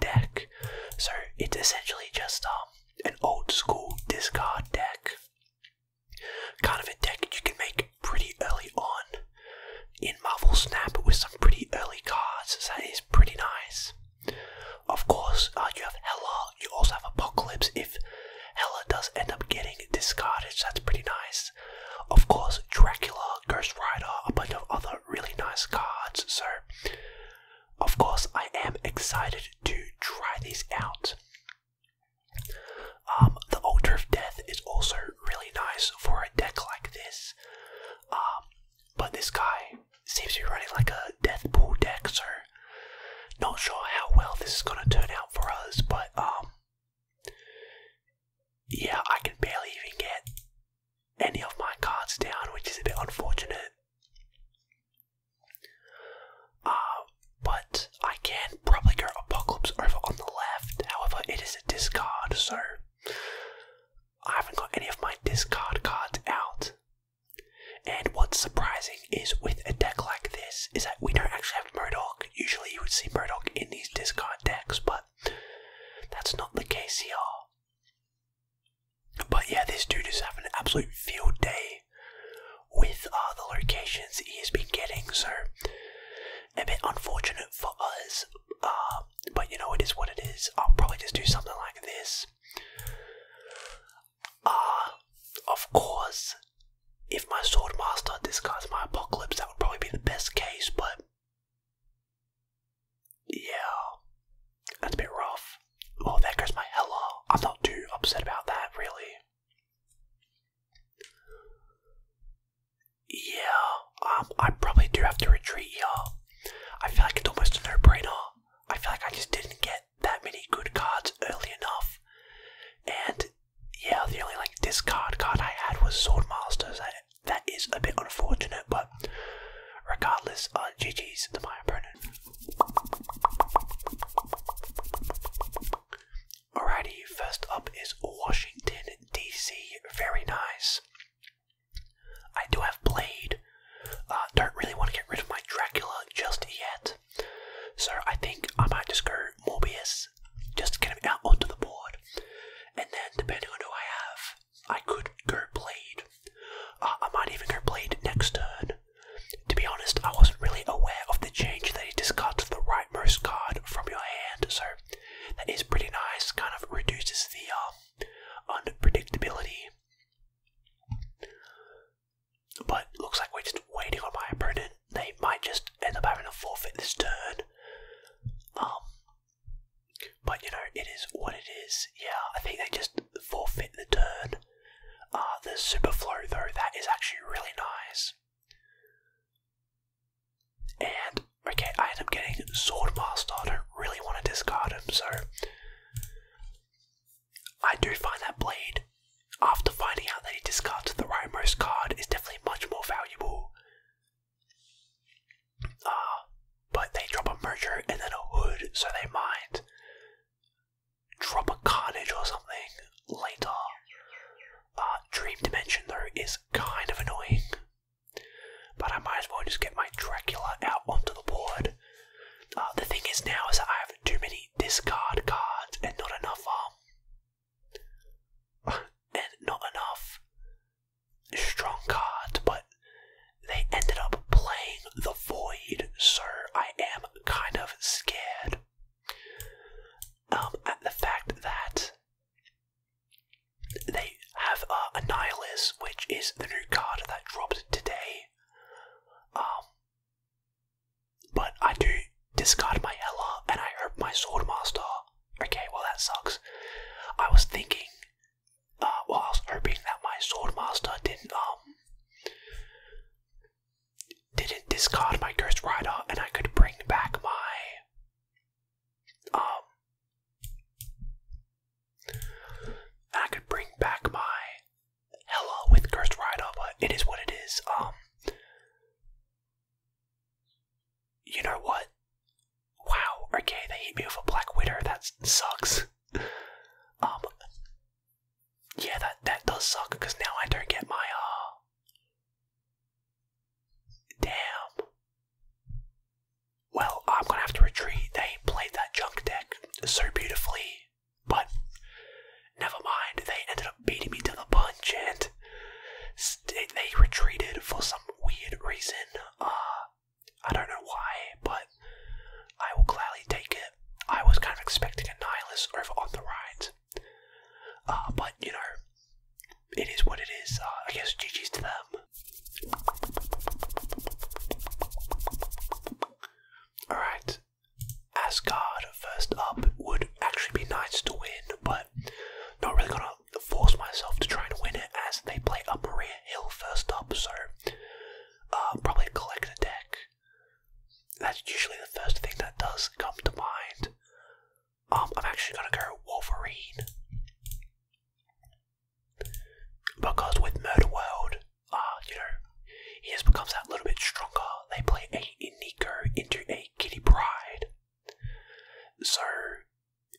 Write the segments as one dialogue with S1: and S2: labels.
S1: deck. So it's essentially just um, an old school discard deck. Kind of a deck that you can make pretty early on in Marvel Snap with some pretty early cards. that is pretty nice. Of course, uh, you have Hella, you also have Apocalypse if Hella does end up getting discarded, that's pretty nice. Of course, Dracula, Ghost Rider, a bunch of other really nice cards, so of course I am excited to try these out. Um, the Altar of Death is also really nice for a deck like this, um, but this guy seems to be running like a death pool deck, so not sure how well this is going to turn out for us, but um, yeah, I can barely even get any of my cards down, which is a bit unfortunate. Uh, but I can probably go Apocalypse over on the left, however, it is a discard, so I haven't got any of my discard cards out. And what's surprising is with a deck like this is that we don't actually have Murdoch. Usually you would see Murdoch in these discard decks, but that's not the case here. But yeah, this dude is having an absolute field day with all the locations he has been getting, so a bit unfortunate for us. Uh, but you know, it is what it is. I'll probably just do something like this. Uh, of course, if my sword master discards my apocalypse, that would probably be the best case, but yeah, that's a bit rough. Oh, there goes my Hella. I'm not too upset about that, really. Yeah, um, I probably do have to retreat y'all. I feel like it's almost a no-brainer. I feel like I just didn't get that many good cards early enough. And yeah, the only like discard card I had was Sword Masters. I, that is a bit unfortunate, but regardless, uh, GG's the my opponent. Alrighty, first up is Washington, DC. Very nice. I do have Blade. Uh, don't really want to get rid of my Dracula just yet. So I think I might just go Morbius, just to get him out onto the board and then depending on who I have, I could go Blade. Uh, I might even go Blade next turn. To be honest, I wasn't really aware of the change that he discards the rightmost card from your hand, so that is pretty nice. Kind of reduces the um, unpredictability. But looks like we're just waiting on my opponent they might just end up having to forfeit this turn. Um, but you know, it is what it is. Yeah, I think they just forfeit the turn. Uh, the superflow though, that is actually really nice. And okay, I end up getting Swordmaster. I don't really want to discard him, so I do find that blade, after finding out that he discarded the rightmost card, is definitely much more valuable uh, but they drop a merger and then a hood, so they might drop a carnage or something later. Uh, dream Dimension, though, is kind of annoying. But I might as well just get my Dracula out onto the board. Uh, the thing is now is that I have too many discard cards and not enough um, and not enough strong cards, but they ended up playing the void, sir. I am kind of scared um, at the fact that they have a uh, Annihilus, which is the new card that dropped today. Um, but I do discard my Ella and I herp my Swordmaster. Okay, well that sucks. I was thinking, uh, while hoping that my Swordmaster didn't, um, didn't discard my Ghost Rider and I could bring back my, um, I could bring back my Hella with Ghost Rider, but it is what it is. Um, you know what? Wow, okay, they hit me with a Black Widow, that sucks. um, yeah, that, that does suck, because now I don't get my, uh... Damn. Well, I'm gonna have to retreat. They played that junk deck so beautifully. But never mind, they ended up beating me to the punch and they retreated for some weird reason. Uh, I don't know why, but I will gladly take it. I was kind of expecting a Nihilus over on the right. Uh, but, you know, it is what it is. Uh, I guess GG's to them. Alright, Asgard first up would actually be nice to win, but not really gonna force myself to try and win it as they play up Maria Hill first up, so uh, probably collect a deck. That's usually the first thing that does come to mind. Um, I'm actually gonna go Wolverine. Because with Murder World, uh, you know, he has become that little bit stronger. They play a Nico into a Kitty Bride. So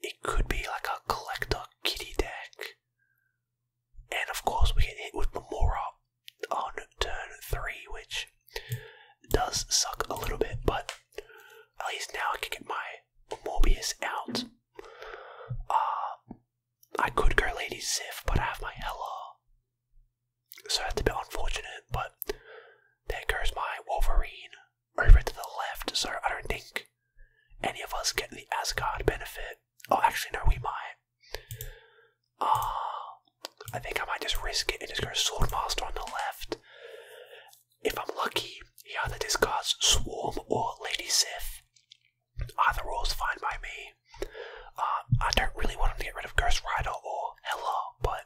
S1: it could be like a collector kitty deck. And of course we get hit with Memora on turn three, which does suck a little bit, but at least now I can get my Mobius out. Uh, I could go Lady Zif, but I have my Hella. So that's a bit unfortunate, but there goes my Wolverine over to the left, so I don't think any of us get the Asgard benefit. Oh, actually, no, we might. Uh, I think I might just risk it and just go Swordmaster on the left. If I'm lucky, he either discards Swarm or Lady Sif are the rules fine by me. Uh, I don't really want them to get rid of Ghost Rider or Hella, but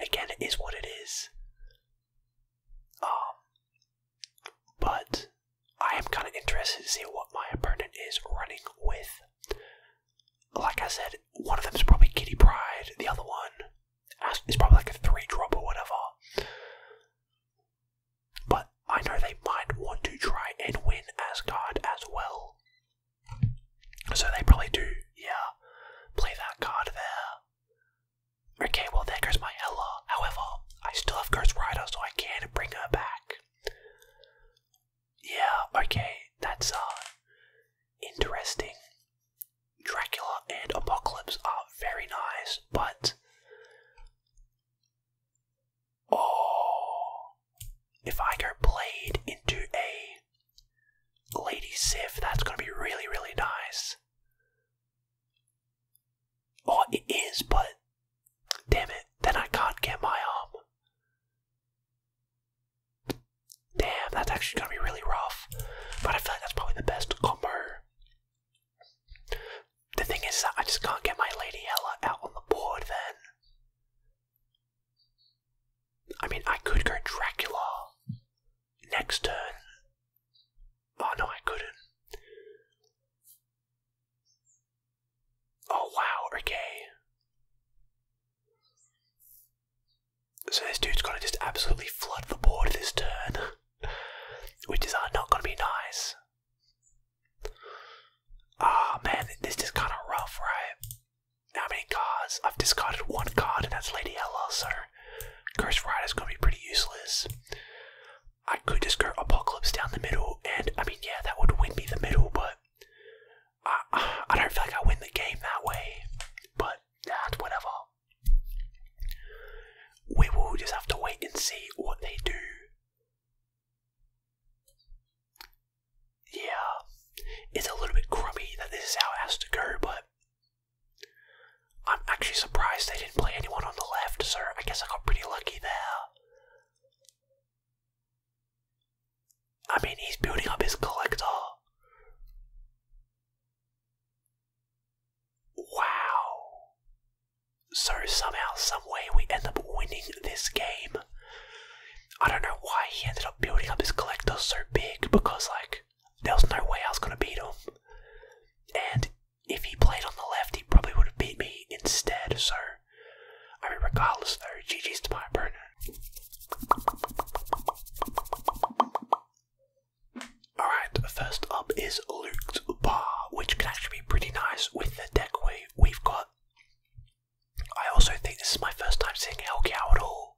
S1: again, it is what it is. Um, but I am kind of interested to see what my opponent is running with. Like I said, one of them is probably Kitty Pride, the other one is probably like a 3 drop or whatever. But I know they might want to try and win Asgard as well. So they probably do, yeah, play that card there. Okay, well, there goes my Ella. However, I still have Ghost Rider, so I can bring her back. Yeah, okay, that's uh, interesting. Dracula and Apocalypse are very nice, but Oh, if I go Blade into a Lady Sif, that's going to be really, really nice. Oh, it is, but damn it, then I can't get my arm. Damn, that's actually going to be really rough. But I feel like that's probably the best combo the thing is that I just can't get my Lady Ella out on the board then. I mean, I could go Dracula next turn. Oh no, I couldn't. Oh wow, okay. So this dude's gonna just absolutely flood the board this turn, which is uh, not gonna be nice. Ah, oh, man, this is kind of rough, right? How many cards? I've discarded one card, and that's Lady Ella, so Ghost Rider's gonna be pretty useless. I could just go Apocalypse down the middle, and I mean, yeah, that would win me the middle, but I, don't feel like I win the game that way. But that's whatever. We will just have to wait and see what they do. Yeah, it's a little bit crummy that this is how it has to go, but I'm actually surprised they didn't play anyone on the left, so I guess I got pretty lucky there. I mean, he's building up his collector. Wow. So somehow, someway, we end up winning this game. I don't know why he ended up building up his collector so big because, like, there was no way I was going to beat him. And if he played on the left, he probably would have beat me instead, so. I mean, regardless, though, GG's to my burner. Alright, first up is Luke's Bar, which can actually be pretty nice with the deck we, we've got. I also think this is my first time seeing Hellcow at all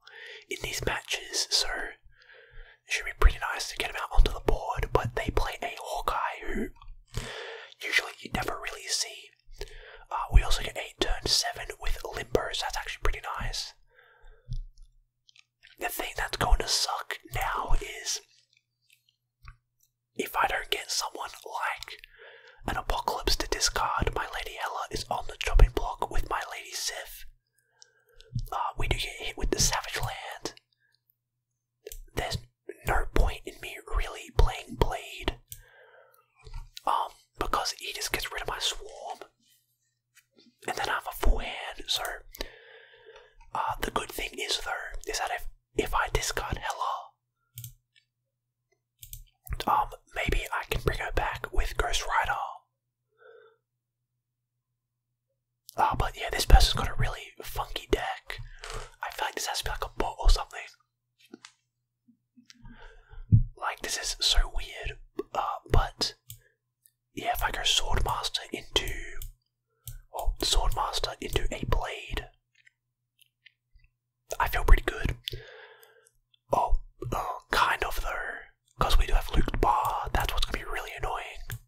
S1: in these matches, so it should be pretty nice to get him out onto the board, but they play a Hawkeye who usually you never really see. Uh, we also get eight turns 7 with Limbo, so that's actually pretty nice the thing that's going to suck now is if I don't get someone like an apocalypse to discard, my Lady Ella is on the chopping block with my Lady Sif. Uh, we do get hit with the Savage Land. There's no point in me really playing Blade. Um, because he just gets rid of my swarm and then I have a full hand. So uh, the good thing is though is that if if I discard Hella, um, maybe I can bring her back with Ghost Rider. Ah, uh, but yeah, this person's got a really funky deck. I feel like this has to be like a bot or something. Like this is so weird, uh, but yeah, if I go Swordmaster into, well, Swordmaster into a blade, I feel pretty good. Oh, oh kind of though, because we do have Luke Bar. That's what's gonna be really annoying.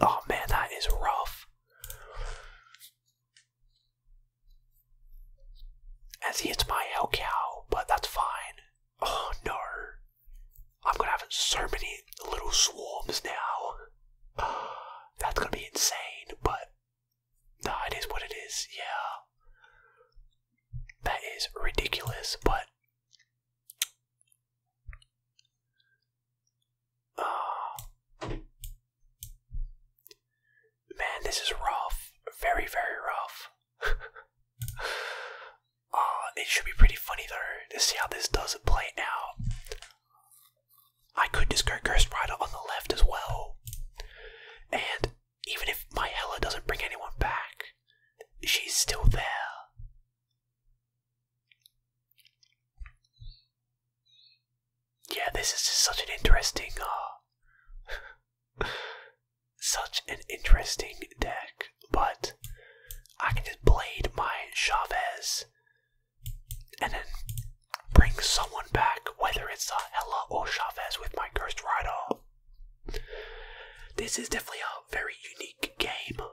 S1: Oh man, that is rough. As he hits my Hell Cow, but that's fine. Oh no. I'm gonna have so many little swarms now. that's gonna be insane, but that is what it is, yeah. That is ridiculous, but. Uh, man, this is rough. Very, very rough. uh, it should be pretty funny though to see how this does play out. I could just go Ghost Rider on the left as well. And even if my Hella doesn't bring anyone back, she's still there. Yeah, this is just such an interesting uh Such an interesting deck, but I can just blade my Chavez and then bring someone back, whether it's uh, Hella or Chavez with my Cursed Rider. This is definitely a very unique game.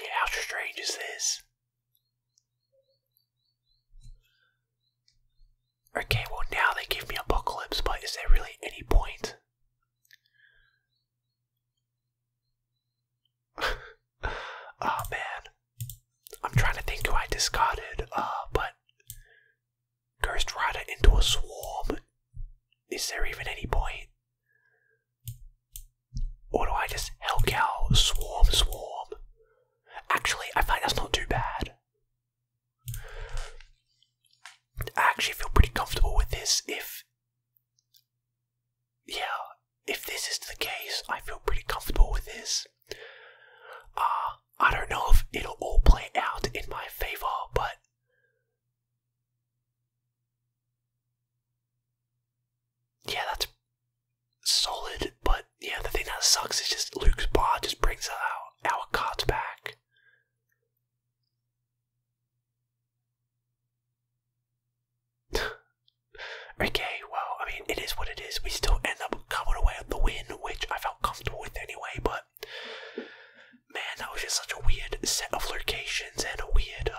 S1: Yeah, how strange is this? Okay, well now they give me Apocalypse, but is there really any point? oh man. I'm trying to think who I discarded, uh, but Ghost Rider into a swarm. Is there even any point? Or do I just hell cow swarm swarm? Actually, I find that's not too bad. I actually feel pretty comfortable with this if. Yeah, if this is the case, I feel pretty comfortable with this. Ah, I don't know if it'll all play out in my favor, but yeah, that's solid. But yeah, the thing that sucks is just Luke's bar just brings our our cards back. okay, well, I mean, it is what it is. We still end up covered away with the win, which I felt comfortable with anyway. But man, that was just such a weird set of locations and a weird. Uh,